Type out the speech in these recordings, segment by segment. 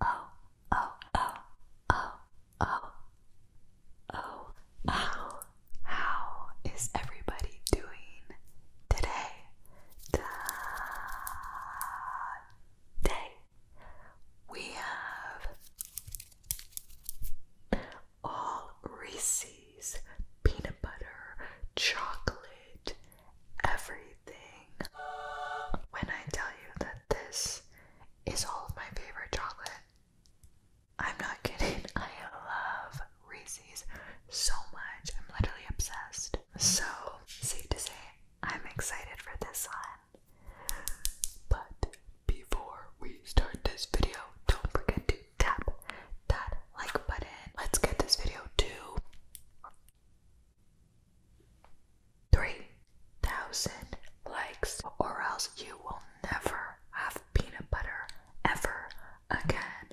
oh, oh, oh, oh, oh, oh, oh. How is everybody doing today? Today we have all Reese's peanut butter chocolate everything. When I tell you that this is all of my favorite chocolate, I'm not kidding. I love Reese's so much. I'm literally obsessed. So, safe to say, I'm excited for this one. But before we start this video, don't forget to tap that like button. Let's get this video to 3,000 likes, or else you will never have peanut butter ever again.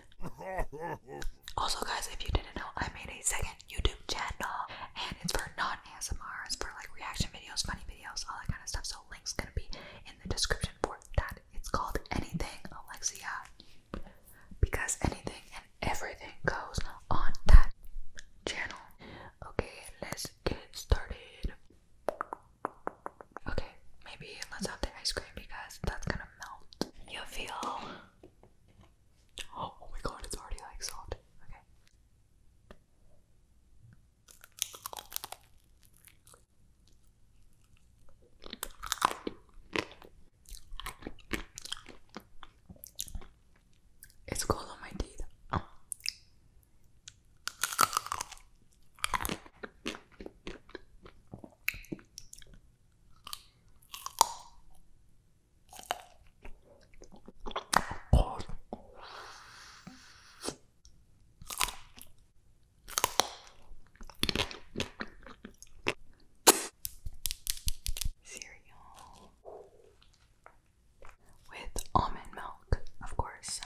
also, guys, if you didn't know, I made a second YouTube channel and it's for non ASMR, it's for like reaction videos, funny videos, all that kind of stuff. So, link's gonna be in the description for that. It's called Anything Alexia because anything everything goes on that channel. Okay, let's get started. Okay, maybe let's have the ice cream because that's gonna melt. You feel. Oh, oh my god, it's already like soft. Okay. It's cold on my teeth. Cereal with almond milk, of course.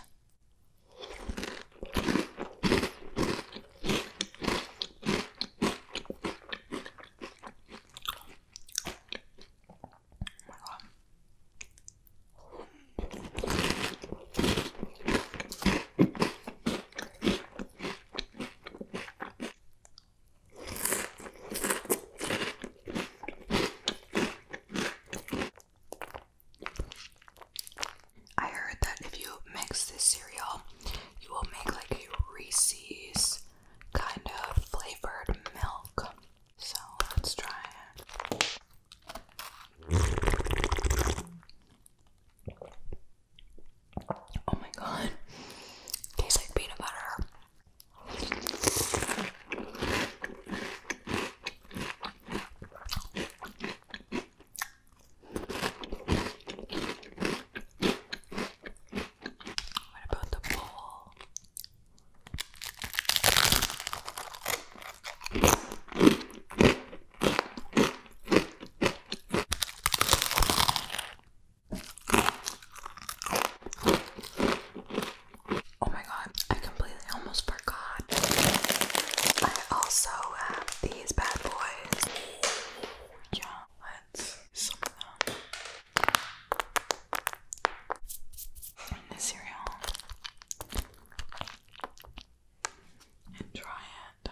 I heard that if you mix this cereal, you will make like a Reese's kind of flavored milk. So let's try it. Oh my god. Tastes like peanut butter. What about the bowl? Oh my god, I completely almost forgot. I also have these bad boys. Yeah, let's some cereal and try it.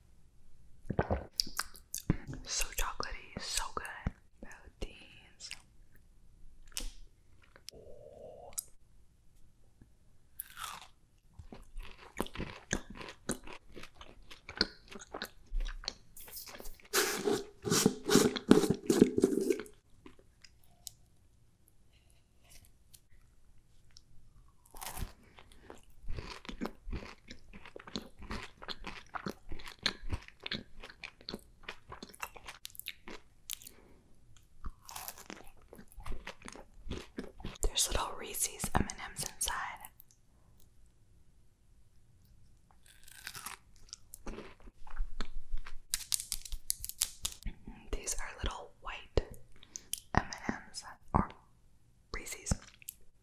So chocolatey, so good. Melodies. Oh. There's little Reese's M&Ms inside. These are little white M&Ms or Reese's.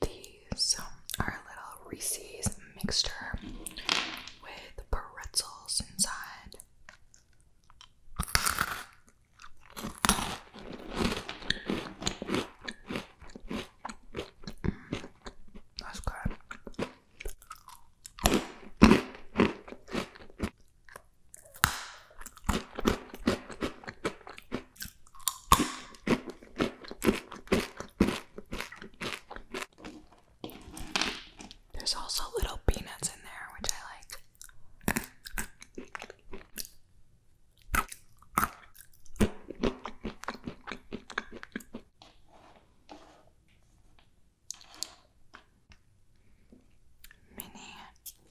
These um, are little Reese's mixture with pretzels inside. Mm, that's good. There's also little peanuts in there, which I like. Mini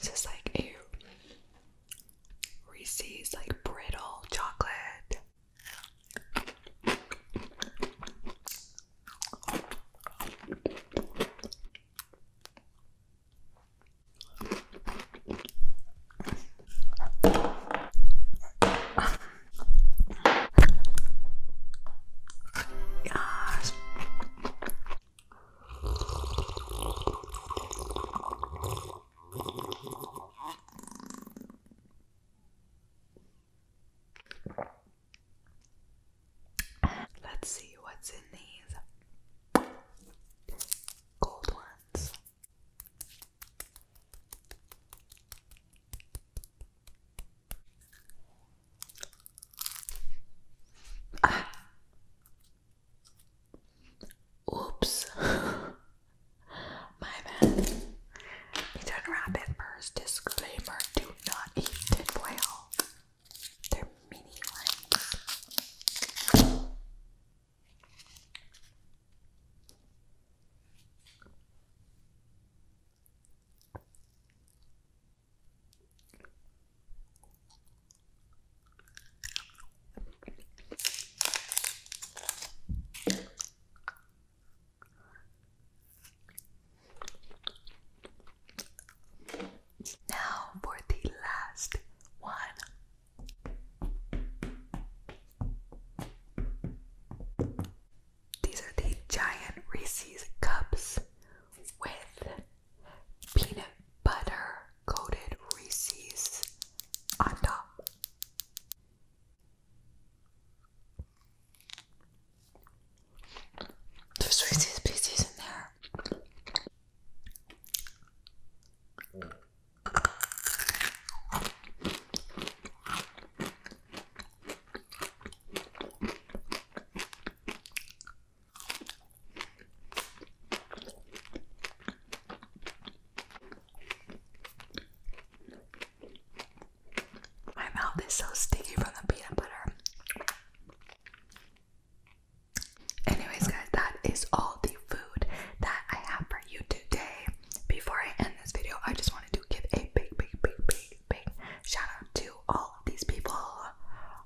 This is like a Reese's like brittle chocolate. Let's see what's in these. Cold one. Ah. Oops. My bad. You did wrap it first. Disclaimer do not eat tinfoil. They're meaty now for the last one. These are the giant Reese's cups with peanut butter coated Reese's on top. There's Reese's pieces in there. My mouth is so sticky from the peanut butter. Anyways, guys, that is all the food that I have for you today. Before I end this video, I just wanted to give a big, big, big, big, big shout out to all of these people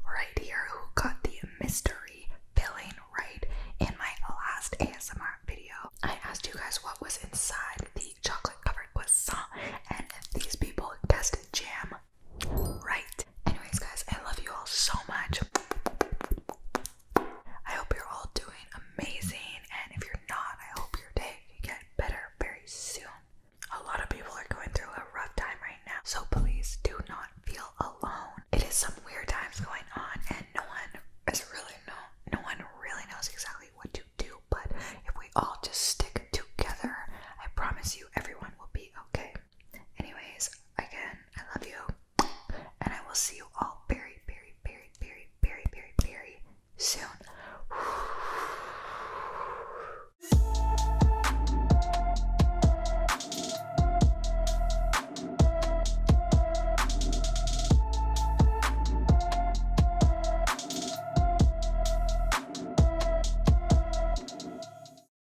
right here who got the mystery filling right in my last ASMR video. I asked you guys what was inside the chocolate covered croissant, and these people guessed jam, right. Anyways, guys, I love you all so much. I hope you're all doing amazing, and if you're not, I hope your day can get better very soon. A lot of people are going through a rough time right now, so please do not feel alone. It is some weird times going on, and no one is really no no one really knows exactly what to do. But if we all just stick together, I promise you, everyone will be okay. Anyways, again, I love you. And I will see you all very, very, very, very, very, very, very soon.